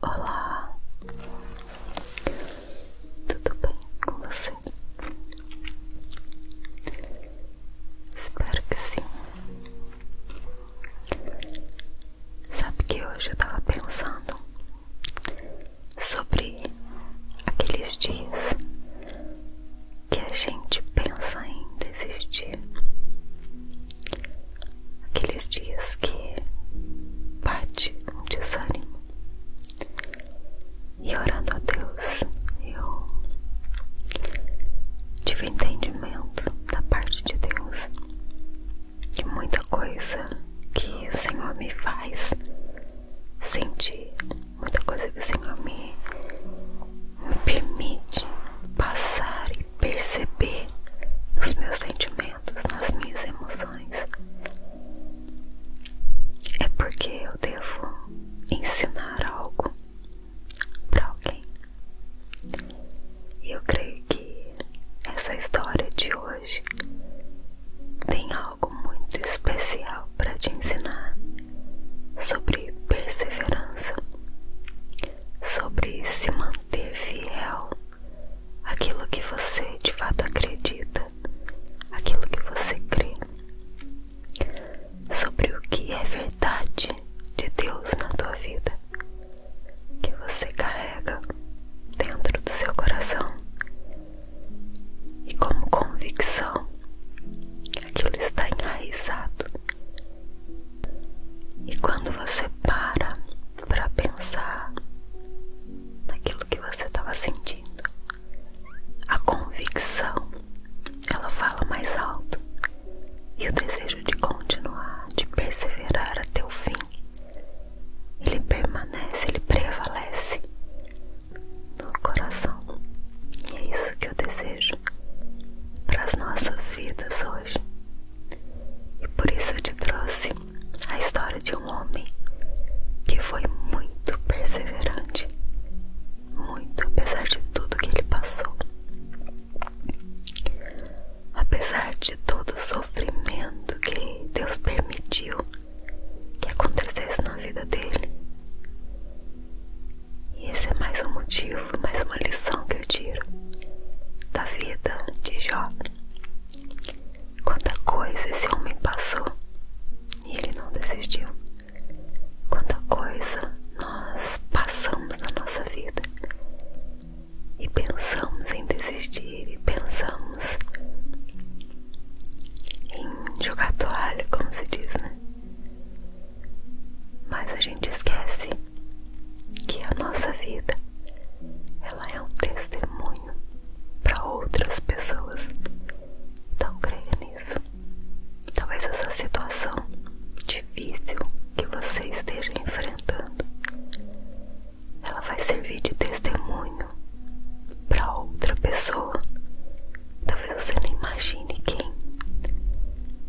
Olá, tudo bem com você? Espero que sim. Sabe que hoje eu estava pensando sobre aqueles dias que a gente pensa em desistir, aqueles dias que bate um desânimo. E orando a Deus, eu tive entendimento da parte de Deus de muita coisa que o Senhor me faz sentir, muita coisa que o Senhor me, permite passar e perceber nos meus sentimentos, nas minhas emoções, é porque eu devo ensinar algo para alguém. E eu creio que essa história de hoje tem algo algo muito especial para te ensinar sobre perseverança, sobre se manter fiel àquilo que você de fato acredita, aquilo que você crê, sobre o que é verdade de Deus na tua vida, que você carrega dentro do seu coração e como convicção aquilo está enraizado. E quando você para para pensar naquilo que você estava sentindo, a convicção ela fala mais alto e o desejo de continuar, de perseverar até o fim, ele permanece, ele prevalece no coração. E é isso que eu desejo para as nossas vidas hoje. E por isso eu te trouxe a história de um homem que foi muito perseverante, muito apesar de tudo que ele passou, apesar de todo o sofrimento que Deus permitiu que acontecesse na vida dele. E esse é mais um motivo, mais uma lição que eu tiro da vida de Jó. Quanta coisa esse homem passou e ele não desistiu. Quanta coisa nós passamos na nossa vida e pensamos em desistir e pensamos em jogar toalha, como se diz, né? Mas a gente esquece que a nossa vida ela é um testemunho para outras pessoas. Então creia nisso. Talvez essa situação difícil que você esteja enfrentando ela vai servir de testemunho para outra pessoa. Talvez você nem imagine quem,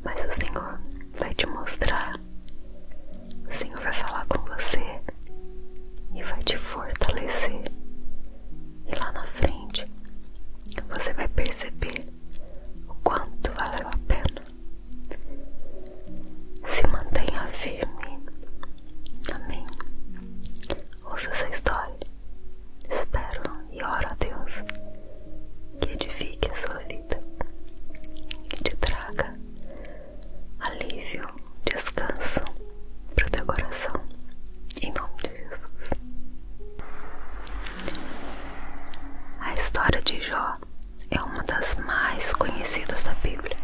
mas o Senhor vai te mostrar. O Senhor vai falar com você e vai te fortalecer. E lá na frente você vai perceber o quanto valeu a pena. Se mantenha firme. Amém ouça essa história. Espero e oro a Deus que edifique a sua vida, que te traga alívio, descanso para o teu coração, em nome de Jesus. A história de Jó é uma das mais conhecidas da Bíblia.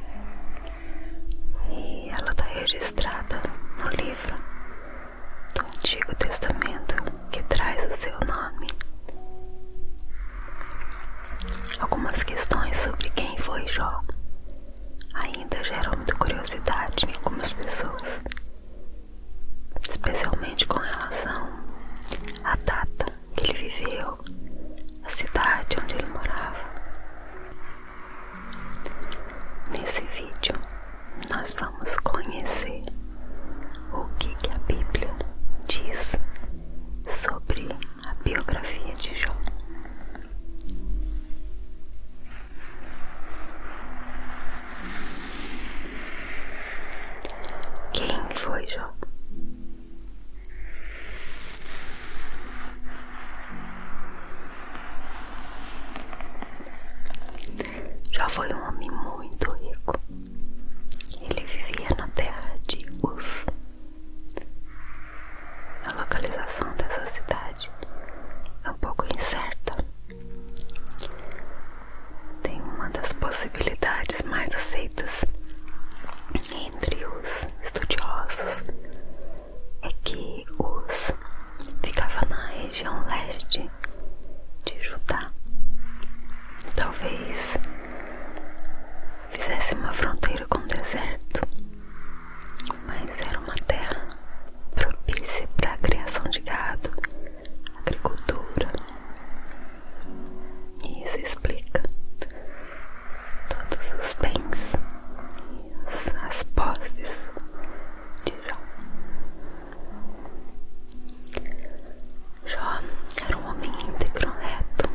E ela está registrada no livro do Antigo Testamento que traz o seu nome. Algumas questões sobre quem foi Jó ainda geram muita curiosidade em algumas pessoas, especialmente com relação à data que ele viveu, a cidade onde ele morava. Nesse vídeo, nós vamos conhecer o que, a Bíblia diz sobre a biografia de Jó. Quem foi Jó? Já foi um homem muito rico. Ele vivia na terra de Uz. A localização dessa cidade é um pouco incerta. Tem uma das possibilidades mais aceitas entre os estudiosos é que os ficava na região leste de Judá. Talvez fizesse uma fronteira com o deserto, mas era uma terra propícia para a criação de gado, agricultura. E isso explica todos os bens as, as posses de Jó. Jó era um homem íntegro, reto,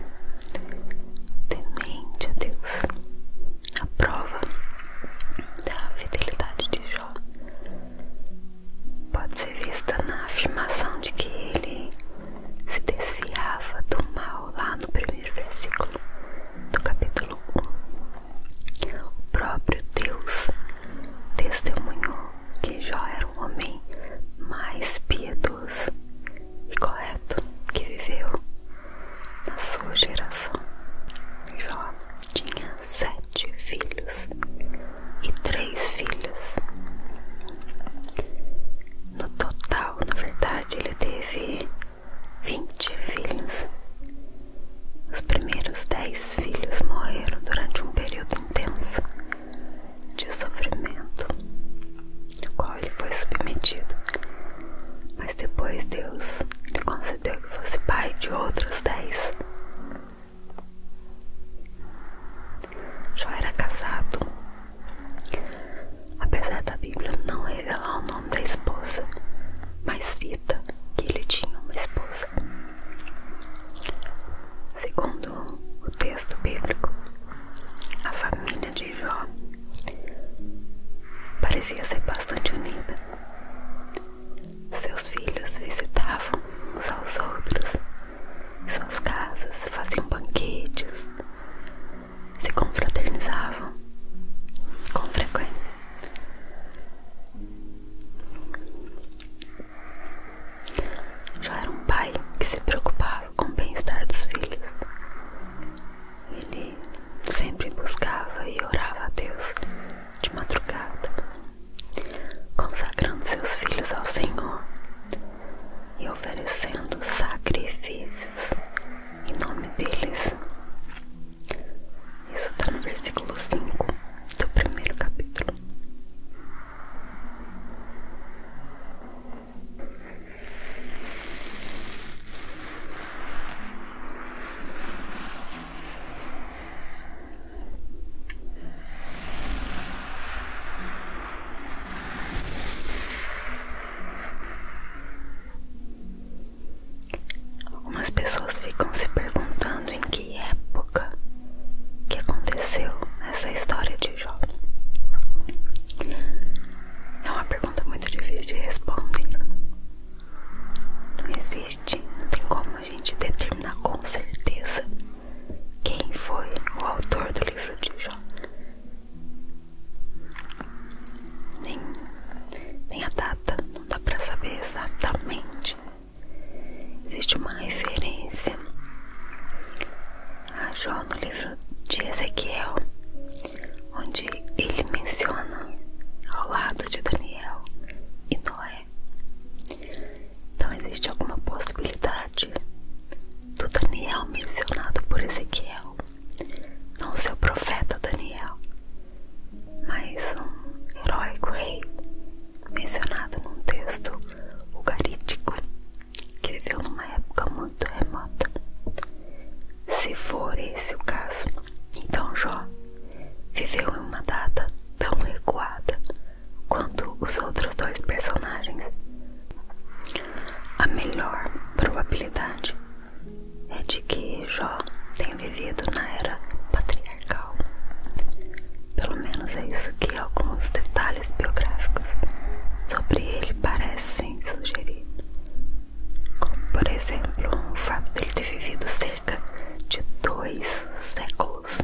temente a Deus. A prova da fidelidade de Jó pode ser vista na afirmação de que ele se desviava do mal lá no primeiro versículo no capítulo 1. O próprio Deus testemunhou que Jó era um homem mais piedoso e correto que viveu na sua geração. Jó tinha sete filhos e três filhas. No total, na verdade, ele teve 20 filhos. Os primeiros 10 filhos morreram durante um período intenso de sofrimento ao qual ele foi submetido. Mas depois Deus lhe concedeu que fosse pai de outros 10. Jó era casado apesar da Bíblia não revelar o nome da esposa, mas cita que ele tinha uma esposa. Segundo o texto bíblico, a família de Jó parecia ser bastante unida. Seus filhos visitavam uns aos outros, e suas casas faziam banquetes, se confraternizavam com frequência. Já era um pai que se preocupava com o bem-estar dos filhos. Ele sempre buscava e orava a Deus de madrugada, consagrando seus filhos ao Senhor e oferecendo sacrifícios em nome deles. Isso está no versículo cinco do primeiro capítulo. Algumas pessoas ficam se perguntando em que época que aconteceu essa história de Jó. É uma pergunta muito difícil de responder. Não existe, não tem como a gente determinar com certeza quem foi o autor do livro de Jó. Nem, nem a data, não dá para saber exatamente. Existe uma referência a Jó no livro de Ezequiel, onde ele menciona ao lado de Daniel e Noé. Então existe alguma possibilidade do Daniel mencionado por Ezequiel não seu profeta Daniel, mas um heróico rei mencionado num texto ugarítico que viveu numa época muito remota. Se for esse o caso, então Jó viveu em uma data tão recuada quanto os outros dois personagens. A melhor probabilidade é de que Jó tem vivido na era patriarcal. Pelo menos é isso que alguns detalhes biográficos sobre ele parecem sugerir. Como, por exemplo, o fato de ele ter vivido cerca de dois séculos.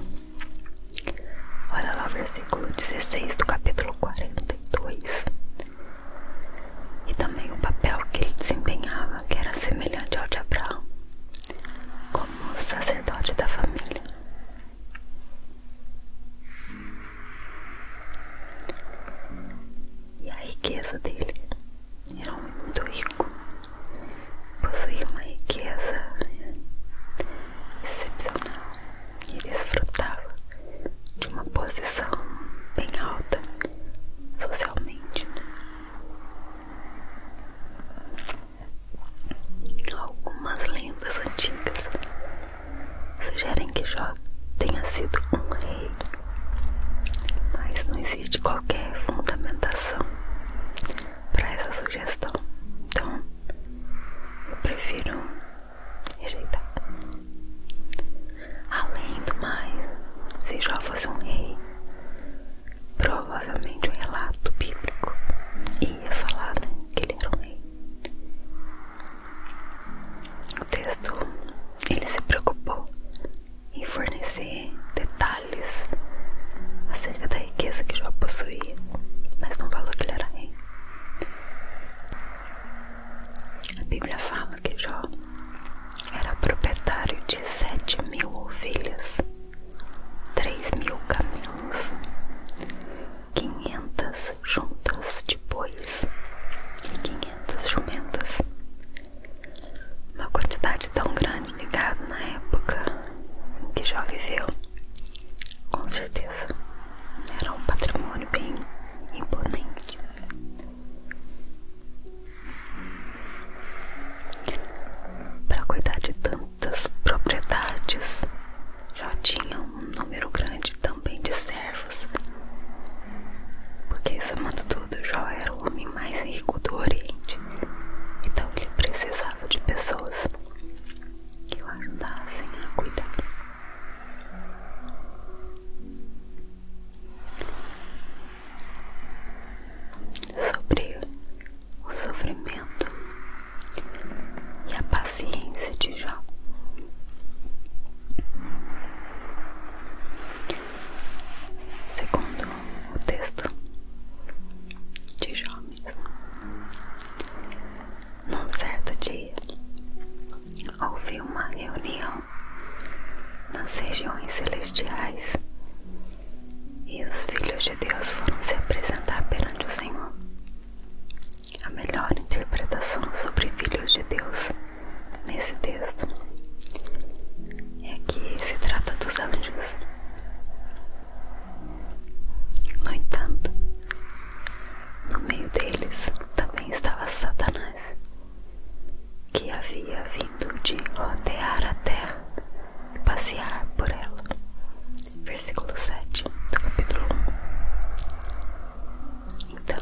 Olha lá o versículo 16 do capítulo 42 e também o papel que ele desempenhava, que era semelhante ao de Abraão, como sacerdote da família. E a riqueza dele era muito rico, possuía uma riqueza né, excepcional e desfrutava de uma posição bem alta socialmente algumas lendas antigas sugerem que Jó tenha sido um rei mas não existe qualquer fundamentação para essa sugestão então eu prefiro rejeitar Além do mais, se Jó fosse um rei, provavelmente o um relato bíblico ia falar né, que ele era um rei. O texto ele se preocupou em fornecer detalhes acerca da riqueza que Jó possuía, mas não falou que ele era rei. A Bíblia fala que Jó era proprietário de sete mil ovelhas, três mil camelos, quinhentas juntas de bois e quinhentas jumentas. Uma quantidade tão grande de na época em que já viveu, com certeza, era um patrimônio bem imponente. Para cuidar de tantas propriedades, já tinha um número grande também de servos, porque isso somando tudo, já era o homem mais rico do Oriente, então ele precisava de pessoas que o ajudassem a cuidar sobre o sofrimento e a paciência de Jó. Segundo o texto de Jó mesmo, num certo dia houve uma reunião nas então, regiões celestiais. E os filhos de Deus foram se apresentar perante o Senhor. A melhor interpretação sobre filhos de Deus nesse texto é que se trata dos anjos. No entanto, no meio deles também estava Satanás, que havia vindo de rodear a terra, passear por ela. Versículo 7 do capítulo 1. Então,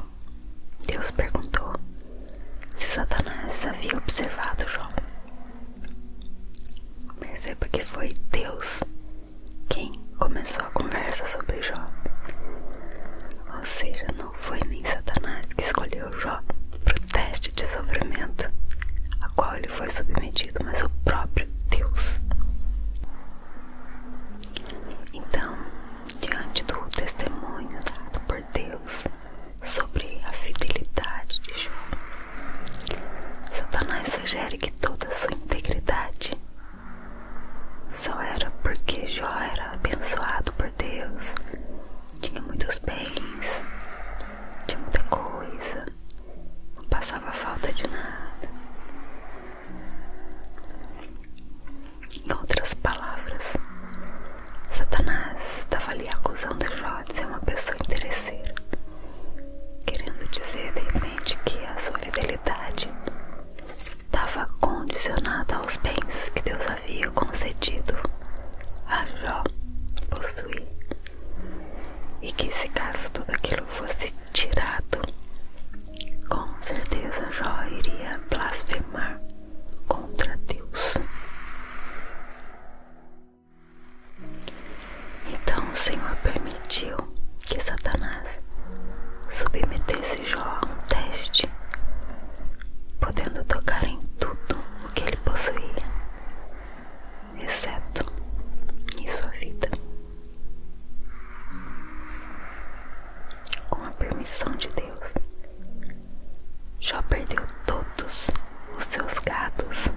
Deus perguntou se Satanás havia observado Jó. Perceba que foi Deus quem começou a conversa sobre Jó. Ou seja, não foi nem Satanás que escolheu Jó para o teste de sofrimento a qual ele foi submetido, mas o próprio Deus. Então, diante do testemunho dado por Deus sobre a fidelidade de Jó, Satanás sugere que toda a sua integridade só era porque Jó era abençoado Deus, tinha muitos bens, tinha muita coisa, não passava falta de nada. Em outras palavras, Satanás estava ali acusando Jó de ser uma pessoa interesseira, querendo dizer de repente que a sua fidelidade estava condicionada aos bens que Deus havia concedido a Jó possuir e que se caso tudo aquilo fosse tirado, com certeza Jó iria blasfemar contra Deus. Então o Senhor permitiu que Satanás submetesse Jó a um teste, podendo tocar em tudo o que ele possuía, exceto em sua vida. Com a permissão de Deus, Jó perdeu todos os seus gados,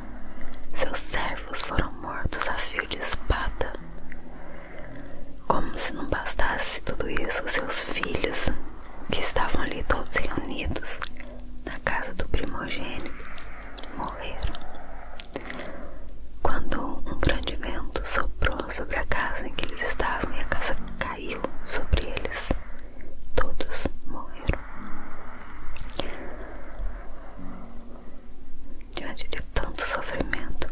seus servos foram mortos a fio de espada. Como se não bastasse tudo isso, seus filhos que estavam ali todos reunidos na casa do primogênito morreram. Quando um grande vento soprou sobre a casa em que eles estavam e a casa caiu sobre eles, todos morreram. Diante de tanto sofrimento,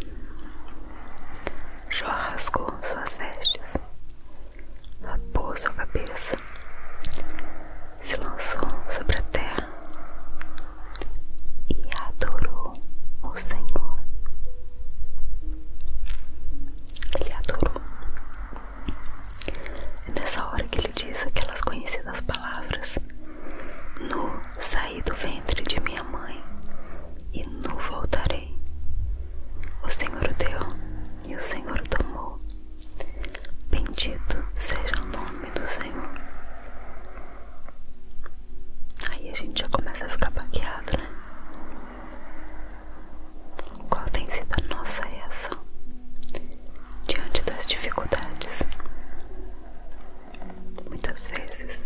Jó rasgou suas vestes rapou sua cabeça, se lançou sobre a terra e adorou o Senhor. Ele adorou. É nessa hora que ele diz aquelas conhecidas palavras: Nu saí do ventre de minha mãe e nu voltarei. O Senhor deu e o Senhor tomou. Bendito seja o nome do Senhor. Aí a gente já começa a ficar baqueado, né? Qual tem sido a nossa reação diante das dificuldades? Muitas vezes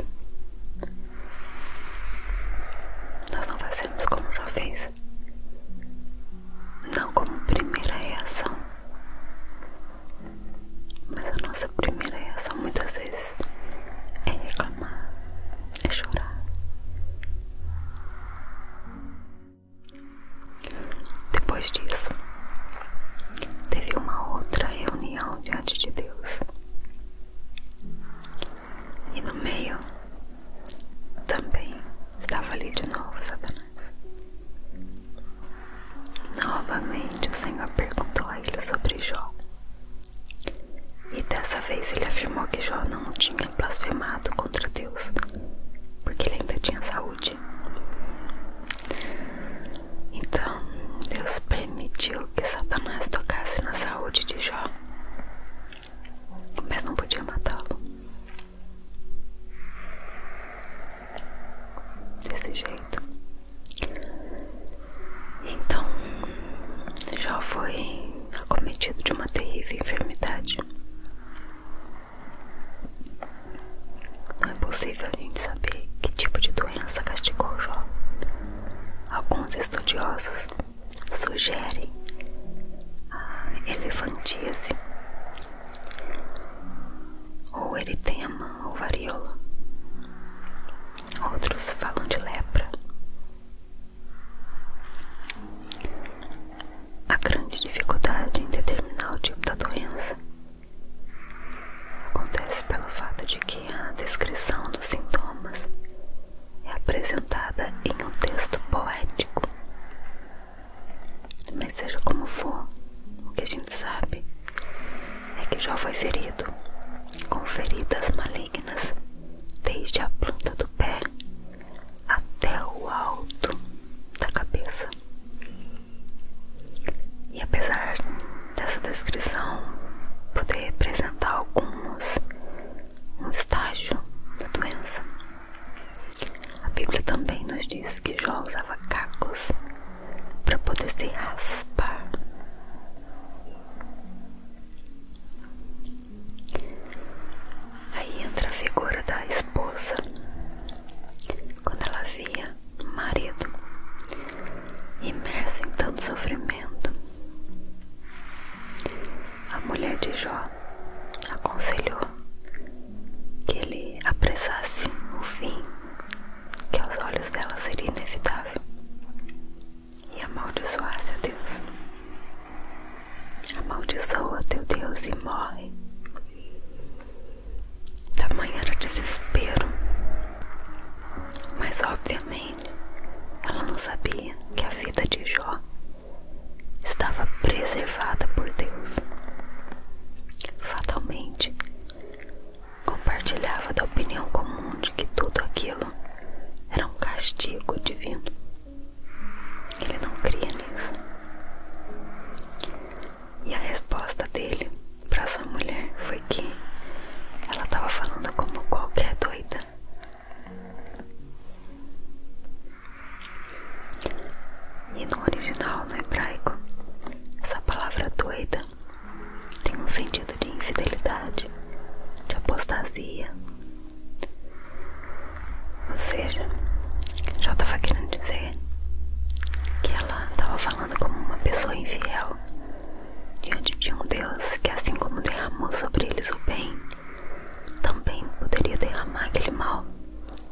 nós não fazemos como já fez não como primeira reação. Mas a nossa primeira reação muitas vezes é reclamar, é chorar. Depois disso, teve uma outra reunião diante de Deus. E no meio também estava ali de novo, Satanás. Novamente o Senhor perguntou a ele sobre Jó. E dessa vez ele afirmou que Jó não tinha blasfemado contra Deus, porque ele ainda tinha saúde. Então Deus permitiu que Satanás tocasse na saúde de Jó mas não podia matá-lo. Desse jeito. Então, Jó foi acometido de uma terrível enfermidade. Não é possível a gente saber que tipo de doença castigou Jó. Alguns estudiosos sugere a elefantise ou eritema ou varíola. Outros falam de lepra. A grande dificuldade em determinar o tipo da doença acontece pelo fato de que a descrição dos sintomas é apresentada em um texto poético. Mas seja como for, o que a gente sabe é que Jó foi ferido, com feridas malignas, desde a planta do pé até o alto da cabeça. E apesar dessa descrição poder representar alguns um estágio da doença, a Bíblia também nos diz que Jó usava cacos para poder se raspar. Aí entra a figura da esposa. Quando ela via o marido imerso em tanto sofrimento, a mulher de Jó aconselhou que ele apressasse o fim, que aos olhos dela seria inevitável, e amaldiçoasse a Deus. Amaldiçoa teu Deus e morre. Tamanho era o desespero, mas obviamente ela não sabia que a vida de Jó estava preservada por Deus. Fatalmente, compartilhava da opinião comum de que tudo aquilo era um castigo divino. Ele não cria nisso. E a resposta dele para sua mulher foi que ela estava falando como qualquer doida e no original, no hebraico, essa palavra doida tem um sentido de infidelidade, de apostasia. Ou seja, já estava querendo dizer que ela estava falando como uma pessoa infiel diante de um Deus que, assim como derramou sobre eles o bem também poderia derramar aquele mal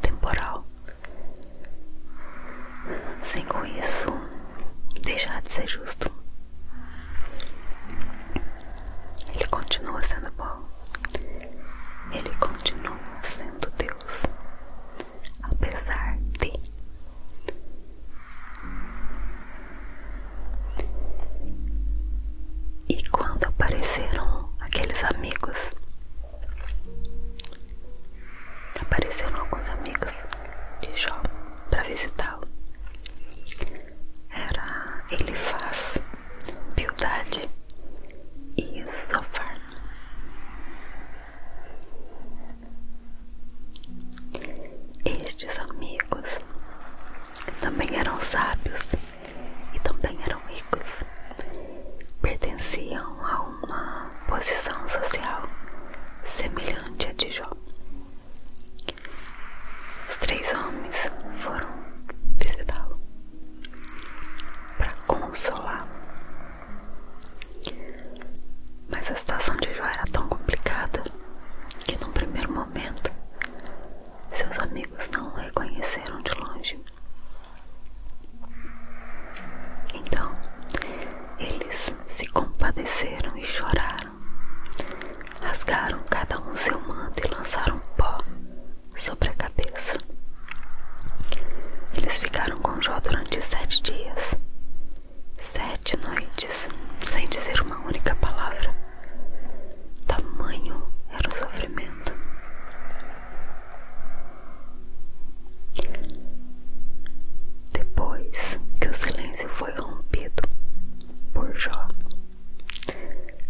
temporal, sem com isso deixar de ser justo. Ele continua sendo bom, ele continua sendo Deus, apesar de. E quando apareceram aqueles amigos, apareceram alguns amigos de Jó para visitá-lo. Era ele faz e Zofar. Estes amigos também eram sábios e também eram ricos. Pertenciam a uma posição social semelhante à de Jó. Os três homens foram visitá-lo para consolá-lo. Mas a situação de Jó era tão complicada que, num primeiro momento, seus amigos não o reconheceram de longe. Então eles se compadeceram e choraram. Rasgaram cada um seu manto e lançaram pó sobre a cabeça. Eles ficaram com Jó durante sete dias, sete noites, sem dizer uma única palavra tamanho era o sofrimento. Depois que o silêncio foi rompido por Jó,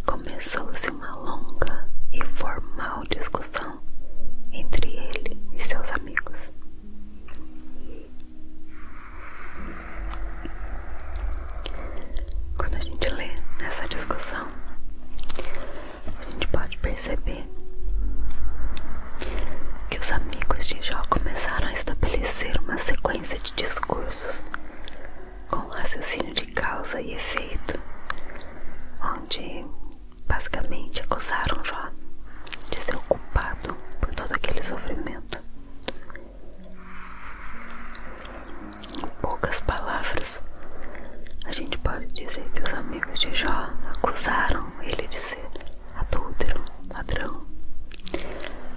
começou-se uma longa e formal discussão entre ele e seus amigos. Quando a gente lê essa discussão, a gente pode perceber que os amigos de Jó começaram a estabelecer uma sequência de discursos com raciocínio de causa e efeito, onde basicamente acusaram Jó de ser o culpado por todo aquele sofrimento poucas palavras, a gente pode dizer que os amigos de Jó acusaram ele de ser adúltero, ladrão,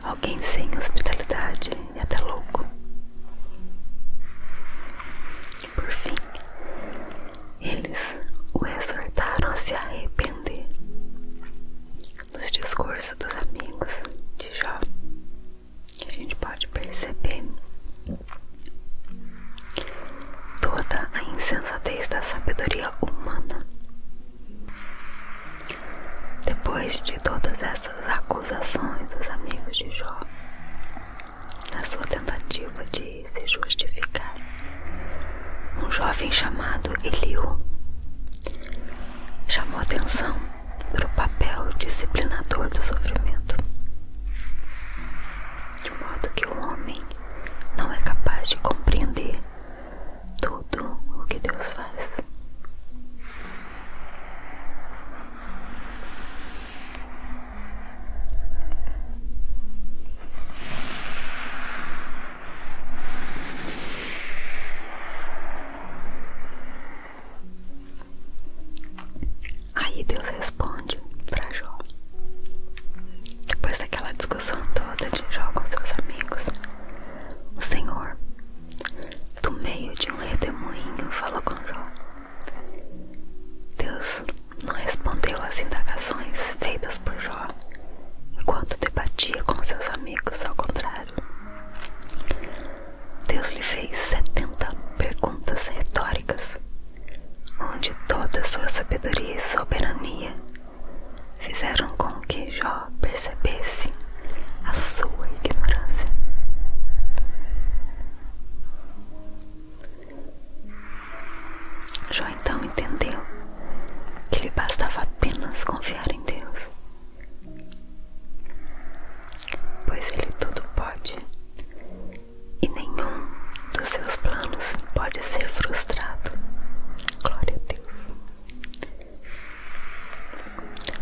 alguém sem hospitalidade e até louco. E por fim, eles o exortaram a se arrepender. Nos discursos dos amigos de Jó, que a gente pode perceber toda a insensatez da sabedoria humana. Depois de todas essas acusações dos amigos de Jó, na sua tentativa de se justificar, um jovem chamado Eliu chamou atenção para o papel disciplinador do sofrimento, de modo que o homem não é capaz de compreender tudo o que Deus faz. Aí Deus responde para Jó. Depois daquela discussão toda de Jó com seus amigos, o Senhor, do meio de um redemoinho, falou com Jó. Deus não respondeu às indagações feitas por Jó enquanto debatia com seus amigos, ao contrário. Deus lhe fez 70 perguntas retóricas, onde toda a sua sabedoria e soberania fizeram com que Jó percebesse a sua ignorância. Jó então entendeu que lhe bastava apenas confiar em Deus pois ele tudo pode e nenhum dos seus planos pode ser frustrado. Glória a Deus.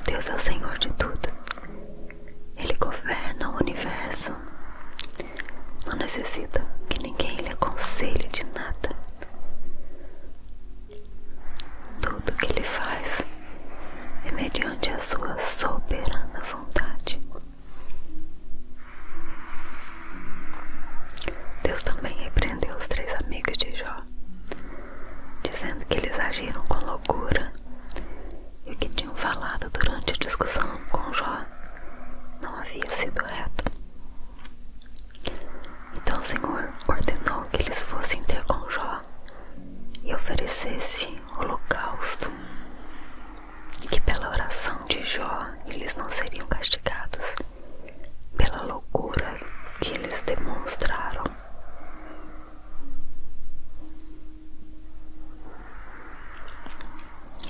Deus é o Senhor de tudo. Ele governa o universo. Não necessita que ninguém lhe aconselhe de nada. Tudo que ele faz é mediante a sua soberana força vontade. Deus também repreendeu os três amigos de Jó, dizendo que eles agiram com loucura e o que tinham falado durante a discussão com Jó não havia sido reto. Então o Senhor ordenou que eles fossem ter com Jó e oferecesse holocausto e que pela oração de Jó eles não seriam castigados pela loucura que eles demonstraram.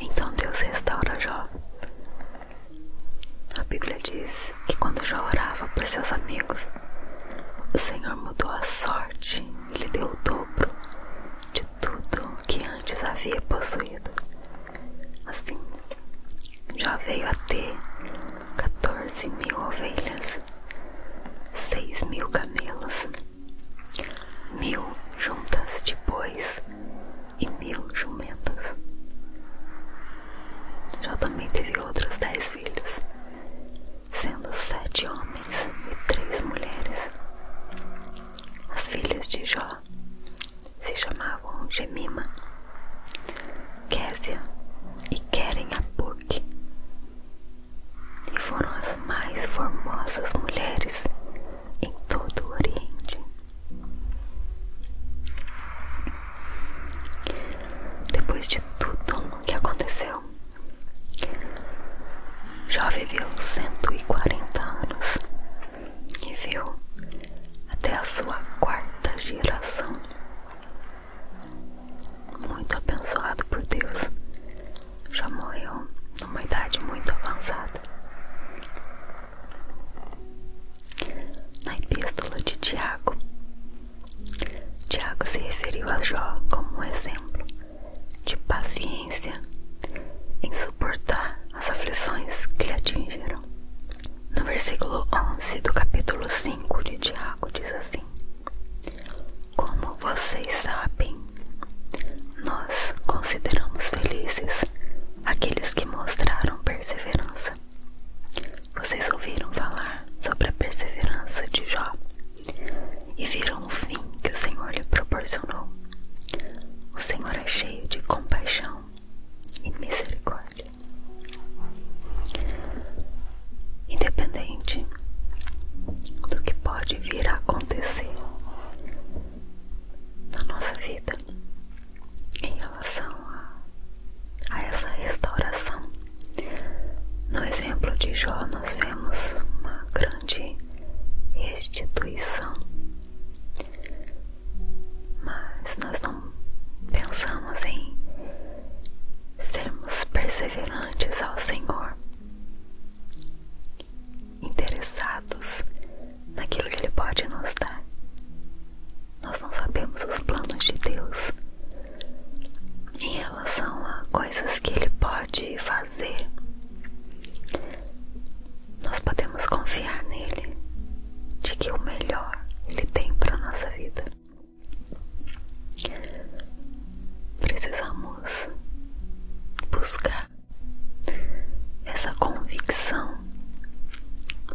Então Deus restaura Jó. A Bíblia diz que quando Jó orava por seus amigos, o Senhor mudou a sorte ele deu o dobro de tudo que antes havia possuído. Assim, já veio a ter 14 mil ovelhas, 6 mil camelos, mil juntas de bois e mil jumentas. Já também teve outros dez filhos, sendo sete homens e três mulheres. As filhas de Jó se chamavam Gemima, Késia e Keren Apuk, e foram as mais formosas mulheres em todo o Oriente. Depois de tudo o que aconteceu, Jó viveu 140 anos e viu até a sua quarta geração. Muito abençoado por Deus, já morreu numa idade muito avançada. Na epístola de Tiago, Tiago se referiu a Jó como um exemplo de paciência em suportar as aflições que lhe atingiram. No versículo 11 do capítulo 5 de Tiago diz assim: Como vocês sabem, nós consideramos felizes aqueles que mostraram perseverança. Vocês ouviram falar sobre a perseverança de Jó e viram o fim que o Senhor lhe proporcionou. O Senhor é cheio de compaixão e misericórdia. Independente do que pode vir a acontecer na nossa vida em relação a, essa restauração, no exemplo de Jó, nós vemos uma grande restituição. Mas nós não pensamos em sermos perseverantes ao Senhor, interessados naquilo que Ele pode nos dar. Nós não sabemos os planos de Deus em em relação a coisas que ele pode fazer, nós podemos confiar nele de que o melhor ele tem para nossa vida. Precisamos buscar essa convicção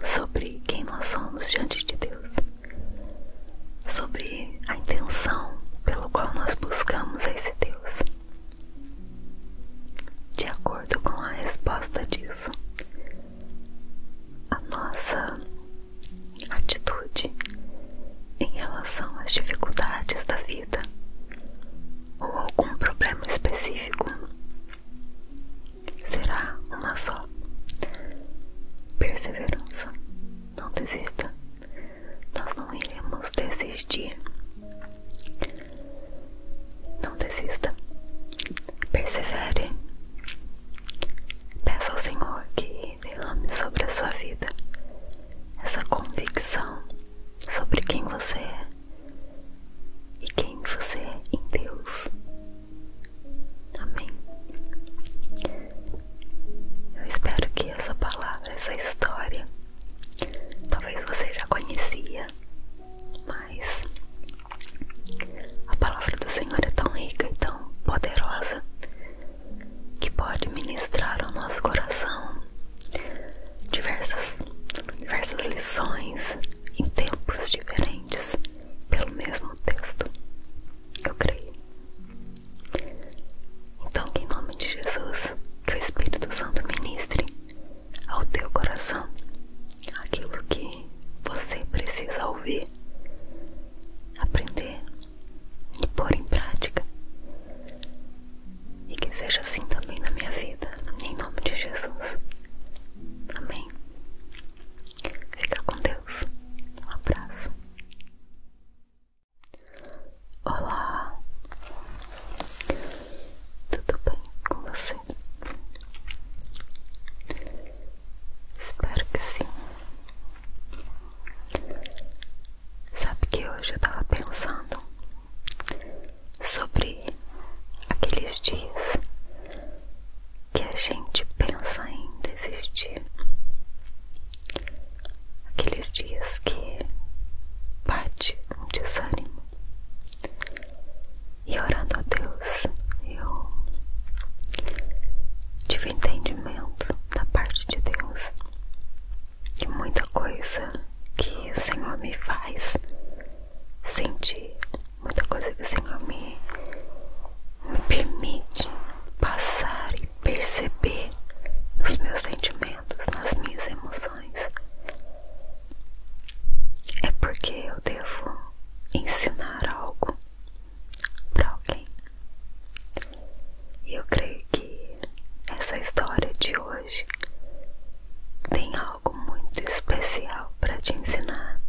sobre quem nós somos diante de Deus, sobre a intenção pelo qual nós buscamos a esse Deus. De acordo com a resposta disso, a nossa atitude em relação às dificuldades da vida ou algum problema específico será uma só. Perseverança. Não desista nós não iremos desistir. Não desista, persevere. Peça ao Senhor que derrame sobre a sua vida essa convicção sobre quem você é e quem você é em Deus. Amém. Eu espero que essa palavra, essa história Talvez você já conhecia, mas a palavra do Senhor é tão rica e tão poderosa que pode ministrar ao nosso coração diversas, diversas lições em tempos diferentes pelo mesmo texto. Eu creio. Então, em nome de Jesus, que o Espírito Santo ministre ao teu coração aquilo que você precisa ouvir, aprender e pôr em prática. E que seja assim também na minha vida, em nome de Jesus. Amém. Fica com Deus. Um abraço. Olá, tudo bem com você? Espero que sim. Sabe que hoje eu tava pensando sobre aqueles dias que a gente pensa em desistir aqueles dias que bate um desânimo. E orando a Deus, eu tive entendimento da parte de Deus que muita coisa que o Senhor me faz sentir, muita coisa que o Senhor me permite passar e perceber nos meus sentimentos nas minhas emoções. É porque eu devo ensinar algo para alguém. E eu creio que essa história de hoje tem algo muito especial para te ensinar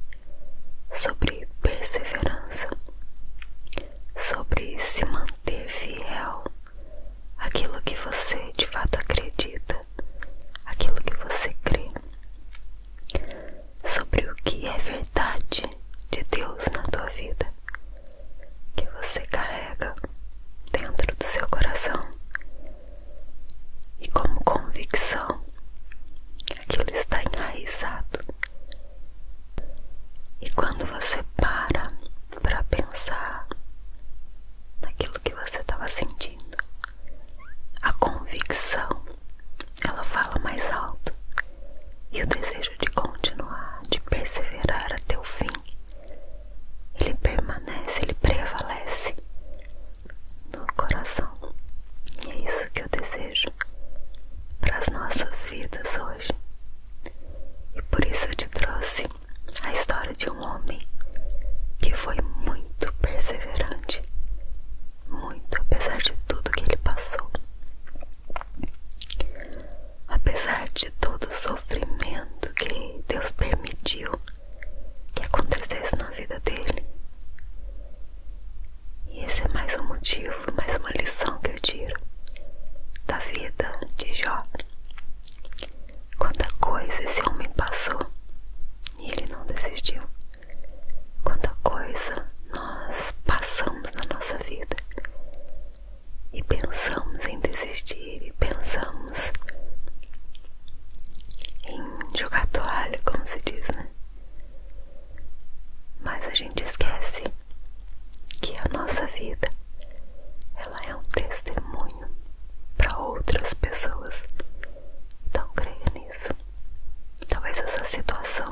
sobre perseverança, sobre se manter fiel aquilo que você de fato acredita, aquilo que você crê, sobre o que é verdade de Deus na tua vida, que você carrega dentro do seu coração e como convicção aquilo está enraizado. E quando você para para pensar naquilo que você estava sentindo. A convicção, ela fala mais alto. E o desejo de continuar, de perseverar até o fim, ele permanece, ele prevalece no coração. E é isso que eu desejo para as nossas vidas hoje. E por isso eu te trouxe a história de um homem que foi muito perseverante, muito apesar de tudo que ele passou, apesar de todo o sofrimento que Deus permitiu que acontecesse na vida dele. E esse é mais um motivo, mais uma lição que eu tiro da vida de Jó. Quanta coisa esse homem passou e ele não desistiu. Quanta coisa nós passamos na nossa vida e pensamos em desistir, e pensamos em jogar toalha, como se diz, né? Mas a gente esquece que a nossa vida ela é um testemunho para outras pessoas. Então creia nisso. Talvez essa situação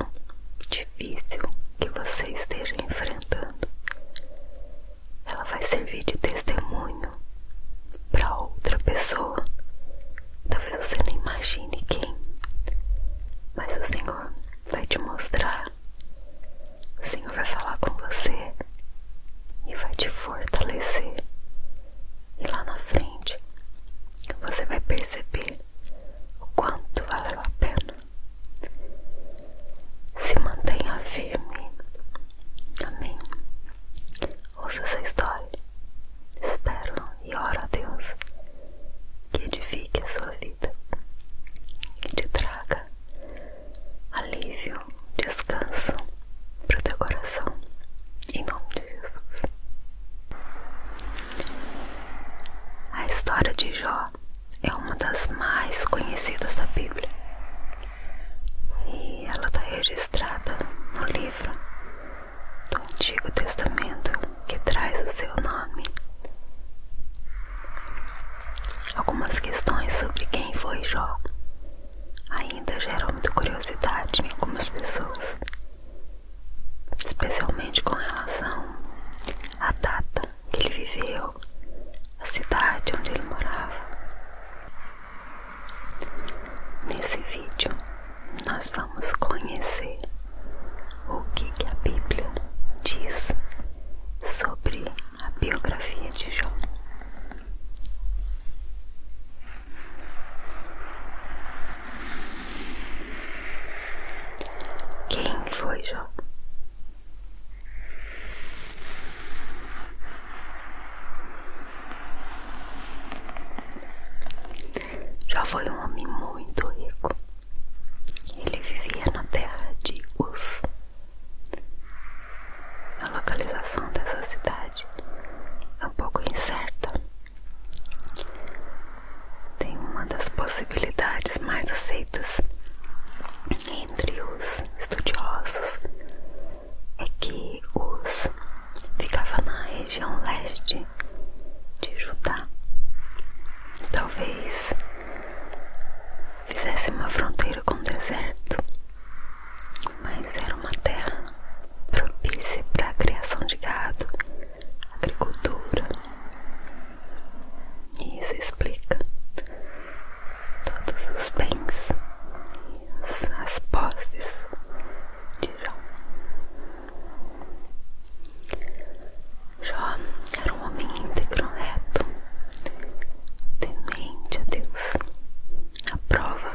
difícil que você esteja enfrentando, ela vai servir de testemunho para outra pessoa. Talvez você nem imagine quem, mas o Senhor vai te mostrar falar. O Senhor vai falar com você e vai te fortalecer. E lá na frente você vai perceber o quanto valeu a pena. Se mantenha firme. Amém. Ouça essa história. Espero e oro a Deus que edifique a sua vida, e te traga alívio, descanso pro teu coração, em nome de Jesus. A história de Jó é uma das mais conhecidas da Bíblia e ela está registrada no livro do Antigo Testamento que traz o seu nome. Algumas questões sobre quem foi Jó ainda geram muita curiosidade em algumas pessoas, especialmente com relação à data que ele viveu, a cidade onde ele morava. Nesse vídeo, nós vamos conhecer o que, que a Bíblia diz sobre a biografia de Jó. Quem foi Jó? Jó foi um homem muito rico. Ele vivia na terra de Uz. A localização dessa cidade é um pouco incerta. Tem uma das possibilidades mais aceitas entre os estudiosos é que Uz ficava na região leste de Judá. Talvez fizesse uma fronteira com o deserto mas era uma terra propícia para a criação de gado, agricultura. E isso explica todos os bens e as posses de Jó. Jó era um homem íntegro, reto, Demente, a Deus. A prova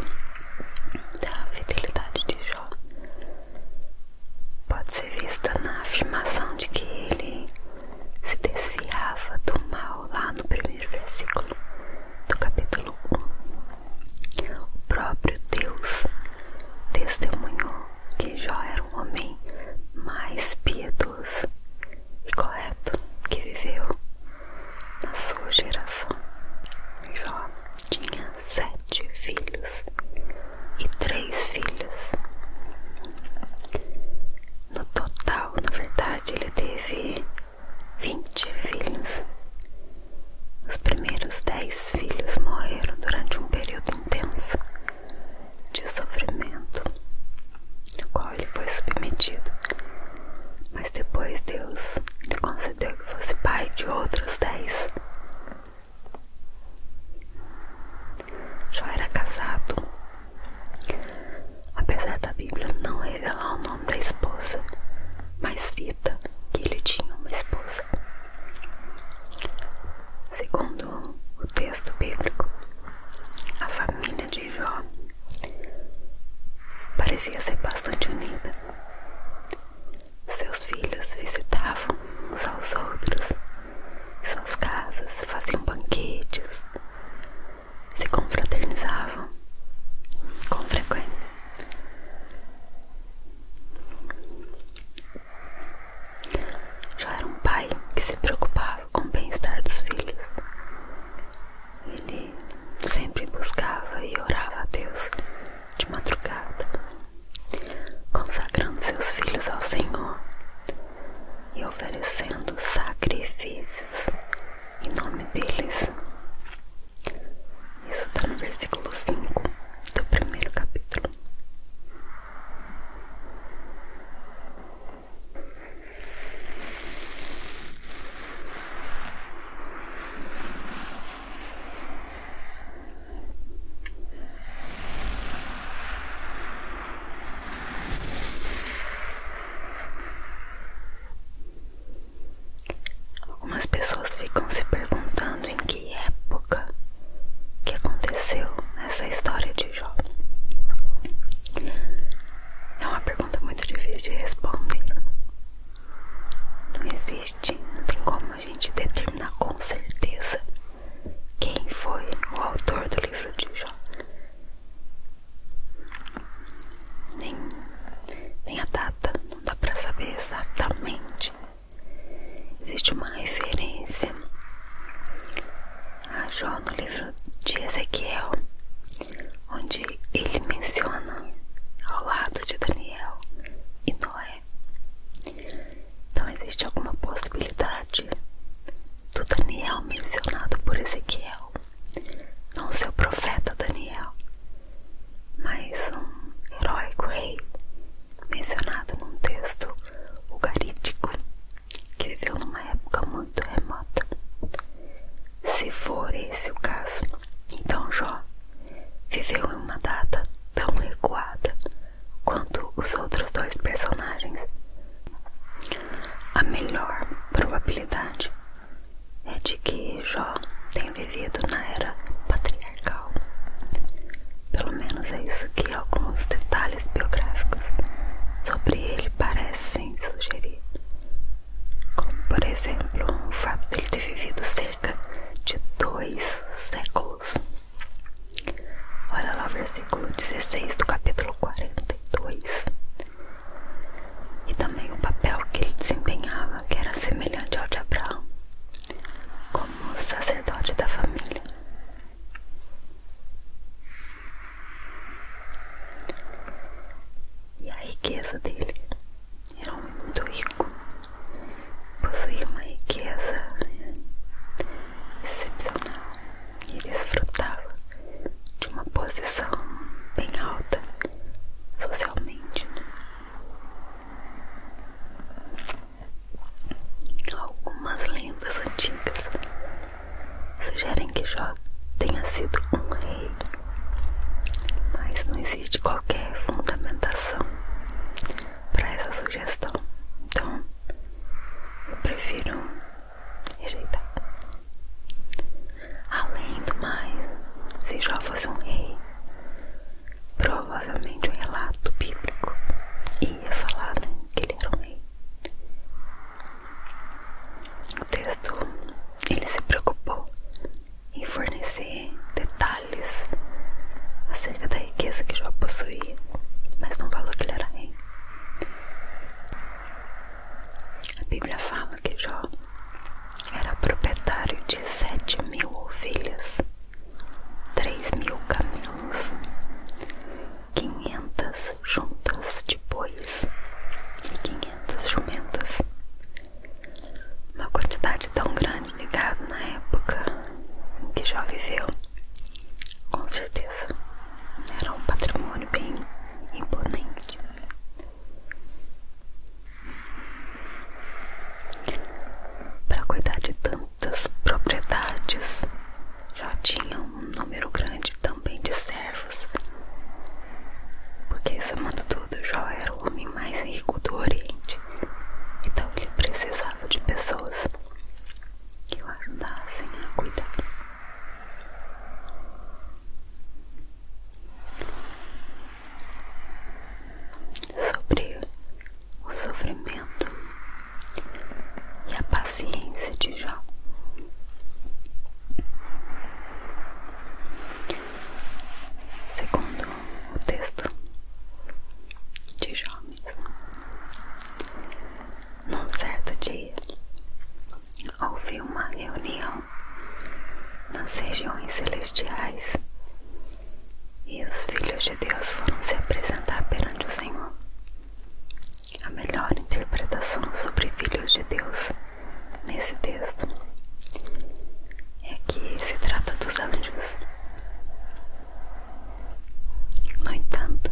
da fidelidade de Jó pode ser vista na afirmação de que ele se desviava do mal lá no primeiro versículo do capítulo 1. O próprio Deus testemunhou que Jó era um homem mais piedoso e correto que viveu na sua geração, Jó tinha sete filhos e três filhas. No total, na verdade, ele teve vinte filhos. Os primeiros dez filhos morreram durante um período intenso de sofrimento no qual ele foi submetido. Mas depois Deus lhe concedeu que fosse pai de outros dez. Jó era casado. Apesar da Bíblia não revelar o nome da esposa, mas cita que ele tinha uma esposa. Segundo o texto bíblico, a família de Jó parecia ser bastante unida. Seus filhos visitavam uns aos outros, suas casas faziam banquetes, se confraternizavam com frequência. Já era um pai que se preocupava com o bem-estar dos filhos ele sempre buscava e orava a Deus de madrugada, consagrando seus filhos ao Senhor e oferecendo sacrifícios em nome deles. Isso está no versículo 5 do primeiro capítulo. Algumas pessoas ficam se perguntando em que época que aconteceu essa história de Jó. É uma pergunta muito difícil de responder. Não existe, não tem como a gente determinar com certeza quem foi o autor do livro de Jó. Nem, nem a data, não dá pra saber exatamente. Existe uma referência a Jó no livro de Ezequiel, onde ele menciona ao lado de Daniel e Noé. Então existe alguma possibilidade do Daniel mencionado por Ezequiel não ser o profeta Daniel, mas um heróico rei mencionado num texto ugarítico que viveu numa época muito remota se for esse o caso. Então Jó viveu em uma data tão recuada quanto os outros dois personagens. A melhor probabilidade é de que Jó tenha vivido na era patriarcal. Pelo menos é isso que alguns detalhes biográficos sobre ele parecem sugerir como por exemplo o fato dele ter vivido cerca de dois séculos. Olha lá o versículo 16 do capítulo 42. E também o papel que ele desempenhava, que era semelhante ao de Abraão, como sacerdote da família. E a riqueza dele era é muito rica, possuía uma riqueza né, excepcional e desfrutava de uma posição bem alta socialmente. Né. Algumas lendas antigas sugerem que Jó tenha sido um rei, mas não existe qualquer fundamentação para essa sugestão, então eu prefiro rejeitar. Além do mais, se Jó fosse um rei, provavelmente o um relato bíblico ia falar né, que ele era um rei. O texto ele se preocupou em fornecer detalhes acerca da riqueza que Jó possuía, mas não falou que ele era rei. A Bíblia fala que Jó era proprietário de sete mil ovelhas, três mil camelos, quinhentas juntas de bois e 500 jumentas. Uma quantidade tão grande de na época em que já viveu, com certeza, era um patrimônio bem imponente. Para cuidar de tantas propriedades, já tinha um número grande também de servos. Porque, somando tudo, Jó era o homem mais rico do Oriente. Então ele precisava de pessoas que o ajudassem a cuidar. Sobre o sofrimento e a paciência de Jó. Segundo o texto de Jovens, num certo dia houve uma reunião nas regiões celestiais e os filhos de Deus foram se apresentar perante o Senhor. A melhor interpretação sobre filhos de Deus nesse texto é que se trata dos anjos. No entanto,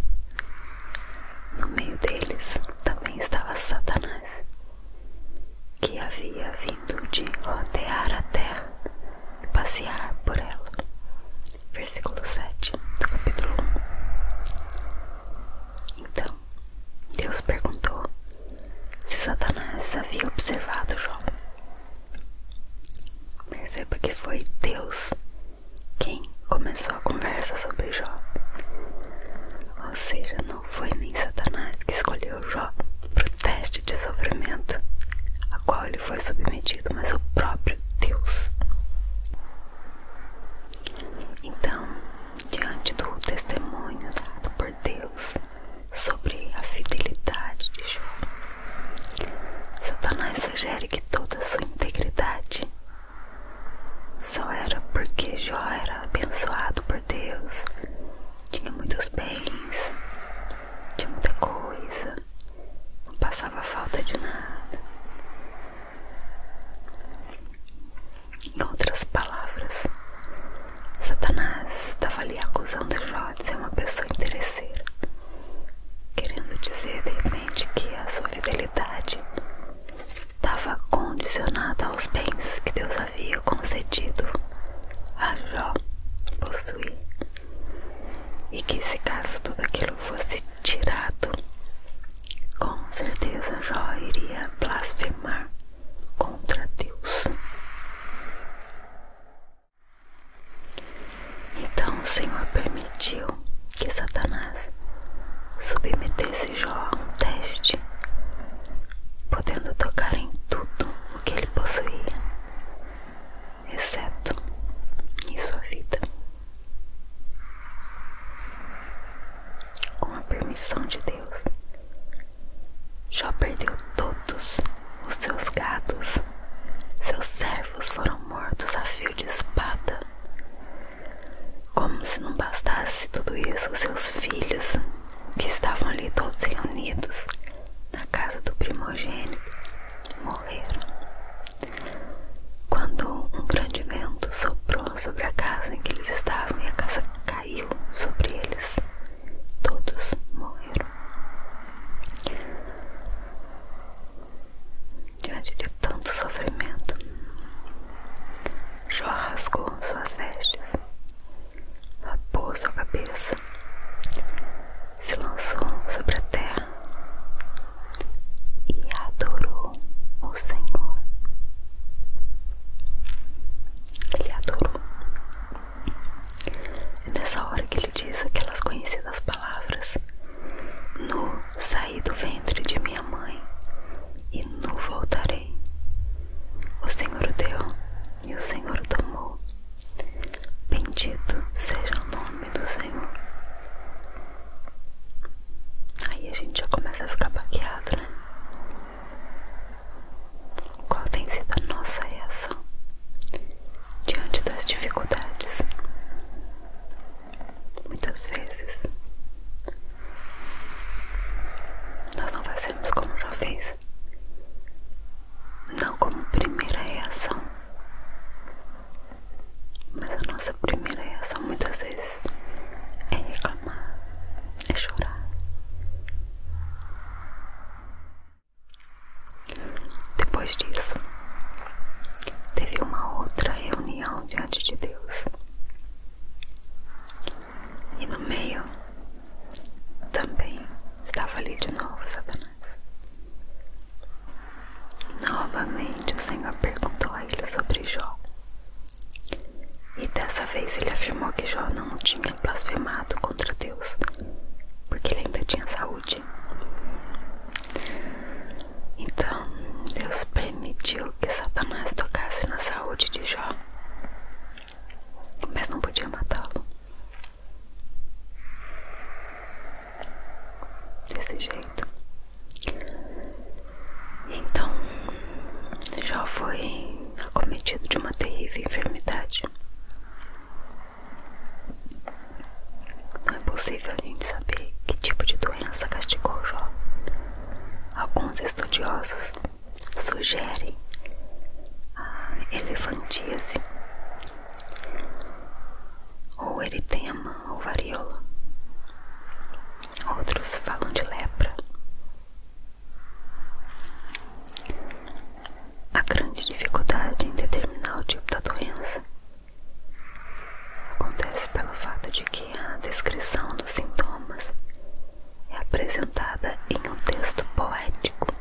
no meio deles também estava Satanás, que havia vindo de rodear a terra e passear por ela. Versículo 7 do capítulo 1. Então isso? Deus perguntou se Satanás havia observado Jó. Perceba que foi Deus quem começou a conversa sobre Jó. Ou seja, não foi nem Satanás que escolheu Jó para o teste de sofrimento a qual ele foi submetido, mas o próprio Deus. Então, diante do testemunho dado por Deus sobre a fidelidade de Jó. Satanás sugere que toda a sua integridade só era porque Jó era abençoado por Deus, tinha muitos bens, tinha muita coisa, não passava falta de nada. Em outras palavras, Satanás estava ali acusando Jó de ser uma pessoa interesseira, querendo dizer de repente que a sua fidelidade estava condicionada aos bens que Deus havia concedido a Jó possuir, e que se caso tudo aquilo fosse tirado com certeza Jó iria blasfemar contra Deus. Então o Senhor permitiu que Satanás submetesse Jó a um teste, podendo tocar em tudo o que ele possuía, exceto em sua vida. Com a permissão de Deus, Jó perdeu todos os seus gados. Seus servos foram mortos a fio de espada. Como se não bastasse tudo isso, seus filhos, que estavam ali todos reunidos na casa do primogênito, morreram. Quando um grande vento soprou sobre a casa em que eles estavam e a casa caiu, caiu sobre eles. Todos morreram. Diante de tanto sofrimento, Jó rasgou suas vestes, rapou sua cabeça, se lançou sobre a terra e adorou o Senhor. Ele adorou. É nessa hora que ele diz aquelas conhecidas palavras: no saí do ventre de minha mãe e no voltarei. O Senhor deu e o Senhor tomou. Bendito seja o nome do Senhor. Aí a gente já começa a ficar baqueado, né? Qual tem sido a nossa reação diante das dificuldades? Muitas vezes nós não fazemos como já fez, não como primeira reação, mas a nossa primeira reação muitas vezes faz é reclamar, é chorar. Depois disso, teve uma outra reunião diante de Deus. E no meio também estava ali de novo Satanás. Novamente o Senhor perguntou a ele sobre Jó. E dessa vez ele afirmou que Jó não tinha blasfemado contra Deus, porque ele ainda tinha saúde. Então, Deus permitiu que Satanás tocasse na saúde de Jó, mas não podia matá-lo. Desse jeito. Então, Jó foi acometido de uma terrível enfermidade. Não é possível a gente saber que tipo de doença castigou Jó. Alguns estudiosos sugerem a elefantíase, ou eritema, ou varíola. Outros falam de lepra. A grande dificuldade em determinar o tipo da doença acontece pelo fato de que a descrição dos sintomas é apresentada em um texto poético.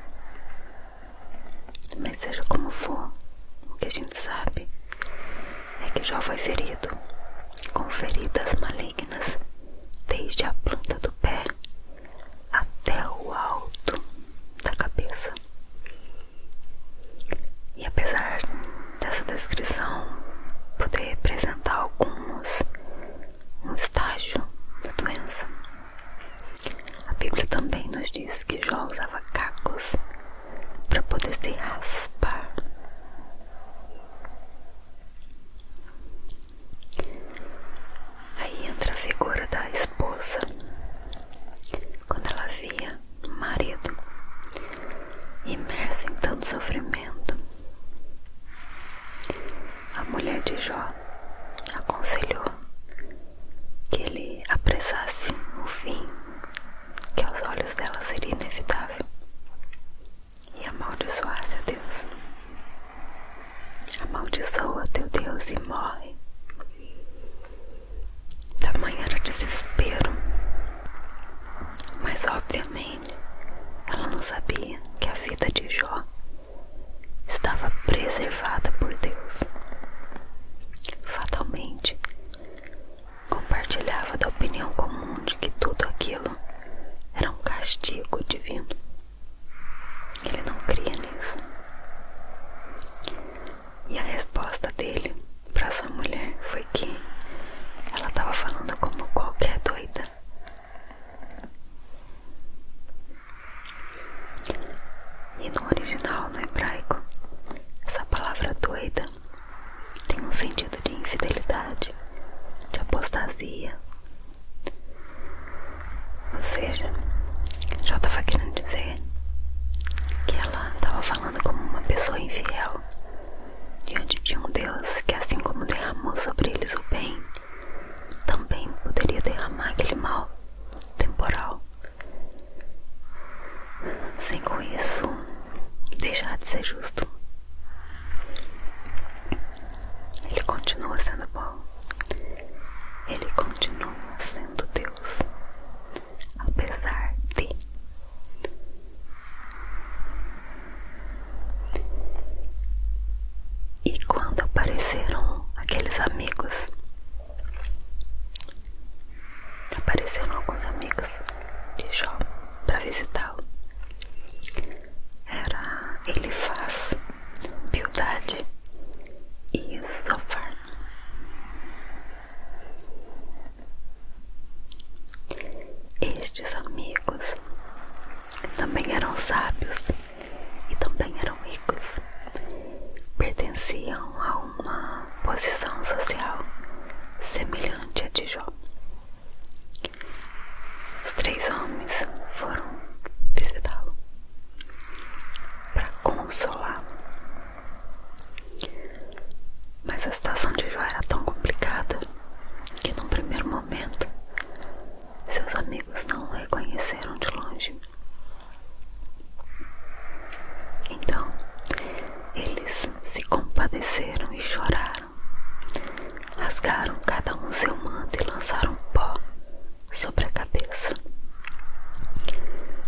Mas, seja como for, o que a gente sabe é que Jó foi ferido com feridas malignas desde a planta do pé até o alto da cabeça. E apesar dessa descrição poder representar alguns um estágio da doença, a Bíblia também nos diz que Jó usava cacos para poder se raspar. Aí entra a figura da esposa. Quando ela via o marido imerso em tanto sofrimento, a mulher de Jó aconselhou que ele apressasse o fim, que aos olhos dela seria inevitável e amaldiçoar seu Deus. Amaldiçoa teu Deus e morre. Tamanho era o desespero. Mas obviamente ela não sabia que a vida de Jó estava preservada por Deus. Fatalmente compartilhava da opinião comum de que tudo aquilo era um castigo divino. Ele não cria nisso. E a resposta dele para sua mulher foi que ela estava falando como qualquer doida. E no original, no hebraico, essa palavra doida tem um sentido de infidelidade, de apostasia, ou seja, já estava querendo dizer que ela estava falando como uma pessoa infiel diante de um Deus que, assim como derramou sobre eles o bem, também poderia derramar aquele mal temporal, sem com isso deixar de ser justo. Ele continua sendo bom. Ele continua sendo Deus. Apesar de E quando apareceram aqueles amigos, apareceram alguns amigos de Jó para visitá-lo era ele faz Piedade e Sofar. Estes amigos também eram sábios e também eram ricos. Pertenciam a uma posição social semelhante à de Jó. Os três homens foram visitá-lo para consolá-lo. Mas a situação de Jó era tão complicada que, num primeiro momento, seus amigos não o reconheceram de longe. Então, eles se compadeceram e choraram Rasgaram cada um seu manto e lançaram pó sobre a cabeça.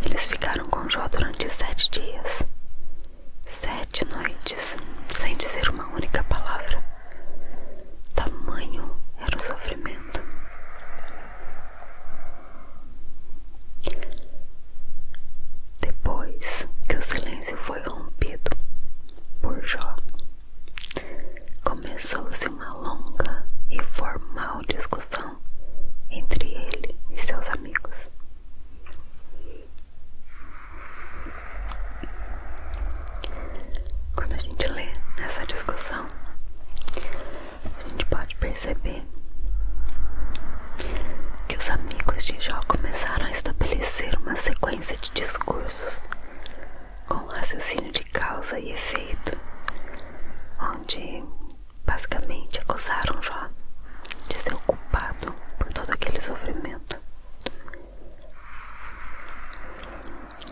Eles ficaram com Jó durante sete dias, sete noites, sem dizer uma única palavra. Tamanho era o sofrimento. Depois que o silêncio foi rompido por Jó, Começou-se uma longa e formal discussão entre ele e seus amigos. Quando a gente lê essa discussão, a gente pode perceber que os amigos de Jó começaram a estabelecer uma sequência de discursos com raciocínio de causa e efeito, onde basicamente acusaram Jó de ser culpado por todo aquele sofrimento.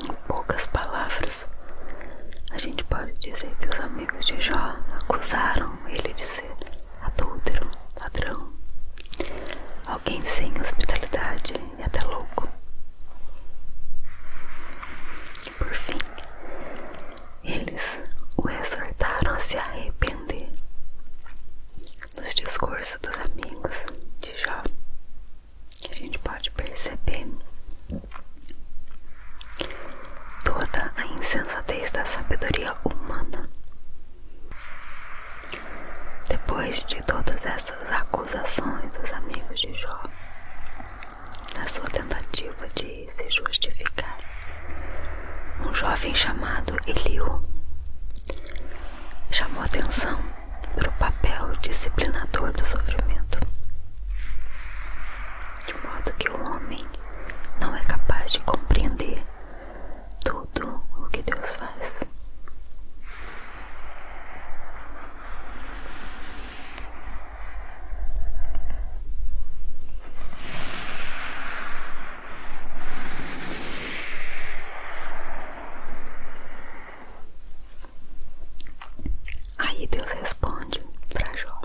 Em poucas palavras, a gente pode dizer que os amigos de Jó acusaram ele de ser adúltero, ladrão, alguém sem hospitalidade, até louco. Por fim, eles o exortaram a se arrepender. Nos discursos dos amigos de Jó, a gente pode perceber toda a insensatez da sabedoria humana. Depois de todas essas acusações dos amigos de Jó, na sua tentativa de se justificar, um jovem chamado Eliu chamou atenção para o papel disciplinador do sofrimento, de modo que o homem não é capaz de compreender tudo o que Deus faz. Aí Deus responde para Jó.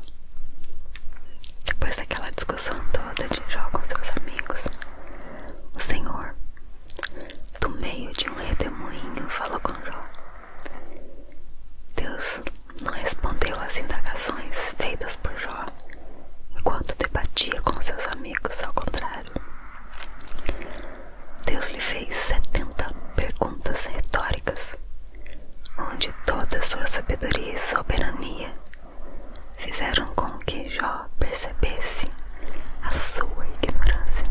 Depois daquela discussão toda de Jó com seus amigos, Senhor do meio de um redemoinho, falou com Jó. Deus não respondeu às indagações feitas por Jó, enquanto debatia com seus amigos, ao contrário. Deus lhe fez 70 perguntas retóricas, onde toda sua sabedoria e soberania fizeram com que Jó percebesse a sua ignorância.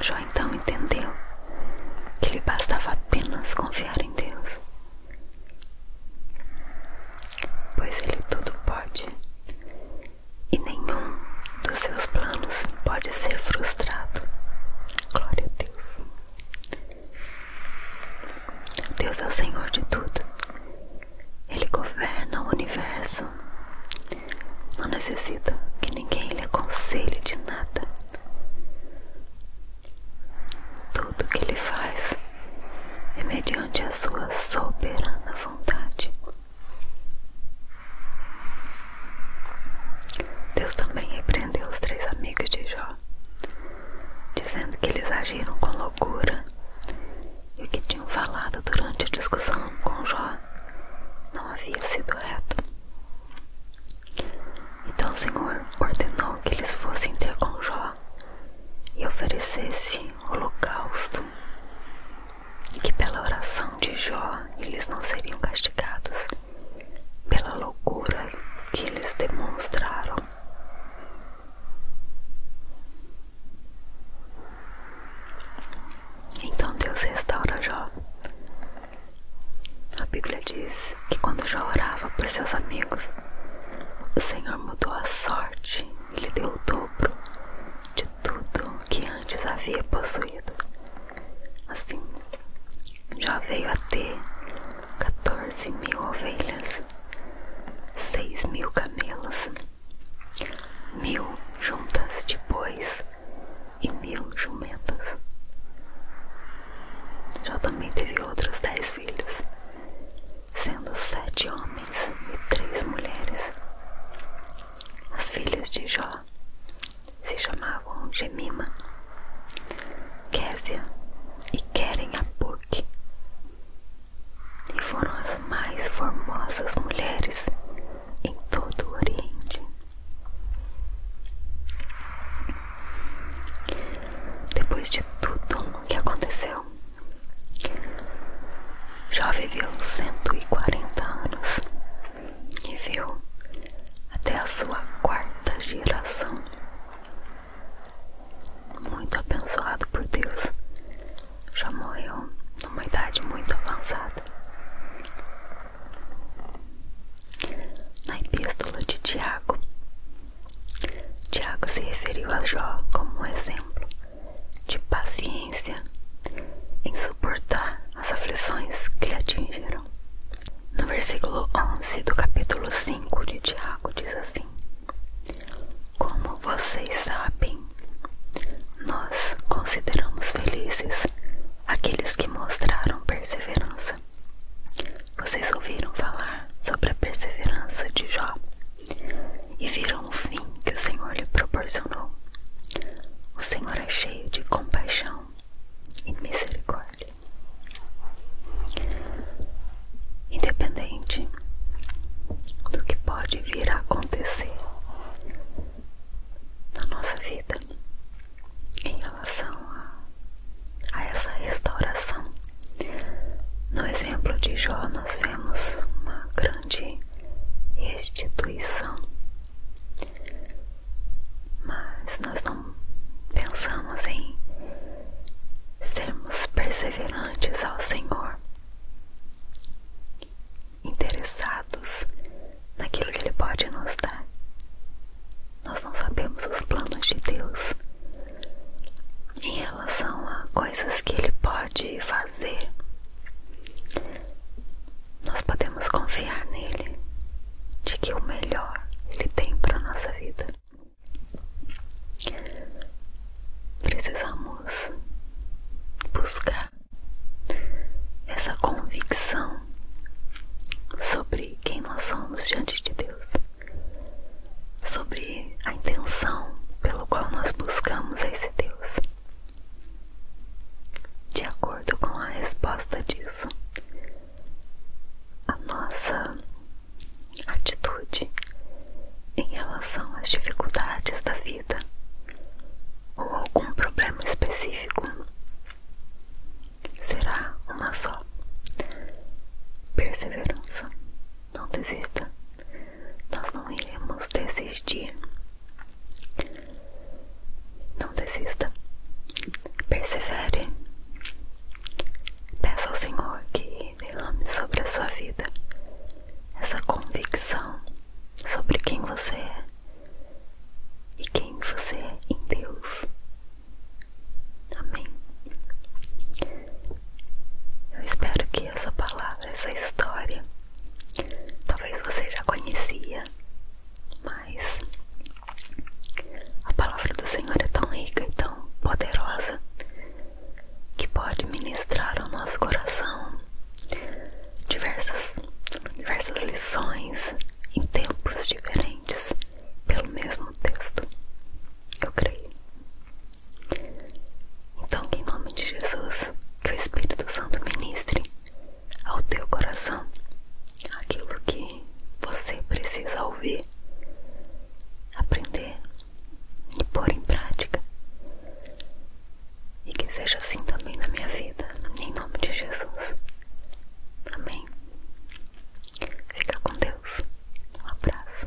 Jó então entendeu que lhe bastava apenas confiar em Deus, pois Ele tudo pode e nenhum dos seus planos pode ser frustrado. Glória a Deus. Deus é o Senhor de tudo. Ele governa o universo. Não necessita que ninguém lhe aconselhe de nada. Tudo que ele faz é mediante a sua soberana vontade. Deus também repreendeu os três amigos de Jó dizendo que eles agiram com loucura e o que tinham falado durante a discussão com Jó não havia sido reto. Então o Senhor ordenou que eles fossem ter com Jó e oferecesse holocausto, e que pela oração de Jó eles não seriam castigados pela loucura que eles demonstraram. Então Deus restaura Jó. A Bíblia diz que quando Jó orava por seus amigos, o Senhor mudou a sorte e lhe deu o dobro de tudo que antes havia possuído. Assim, Jó veio a ter 14 mil ovelhas seis mil camelos, mil juntas de bois e mil jumentas. Jó também teve outros dez filhos, sendo sete homens e três mulheres. As filhas de Jó se chamavam Gemima, Késia e Querem Apuque e foram as mais formosas mulheres em todo o Oriente. Depois de tudo o que aconteceu, Jó viveu 140 anos e viu até a sua quarta geração muito abençoado por Deus, já morreu numa idade muito avançada. Na epístola de Tiago, Tiago se referiu a Jó como um exemplo de paciência em suportar as aflições que lhe atingiram. No versículo 11 do capítulo 5 de Tiago diz assim: como vocês sabem, nós consideramos felizes aqueles que mostraram perseverança. Vocês ouviram falar sobre a perseverança de Jó e viram o fim que o Senhor lhe proporcionou. O Senhor é cheio de compaixão e misericórdia independente do que pode vir a acontecer na nossa vida em relação a, essa restauração. No exemplo de Jó, nós vemos uma grande restituição, mas nós não pensamos em sermos perseverantes ao Senhor, interessados naquilo que Ele pode nos dar. Nós não sabemos os planos de Deus em relação a coisas que Ele pode fazer. Nós podemos confiar nele de que o melhor Ele tem para nossa vida. Precisamos buscar essa convicção sobre quem nós somos diante de Deus, sobre a intenção pelo qual nós buscamos esse Deus. De acordo com a resposta disso, a nossa atitude em relação às dificuldades da vida ou algum problema específico será uma só. Perseverança. Não desista. Nós não iremos desistir. Não desista. Persevere. Peça ao Senhor que e derrame sobre a sua vida essa convicção sobre quem você é e quem você é em Deus. Amém. Eu espero que essa palavra, essa história, talvez você já conhecia, mas a palavra do Senhor é tão rica e tão poderosa que pode ministrar ao nosso coração diversas, diversas lições em tempos diferentes pelo mesmo texto. Eu creio. Então, em nome de Jesus, que o Espírito Santo ministre ao teu coração aquilo que você precisa ouvir, aprender e pôr em prática. E que seja assim também na minha vida, em nome de Jesus. Amém. Fica com Deus. Um abraço.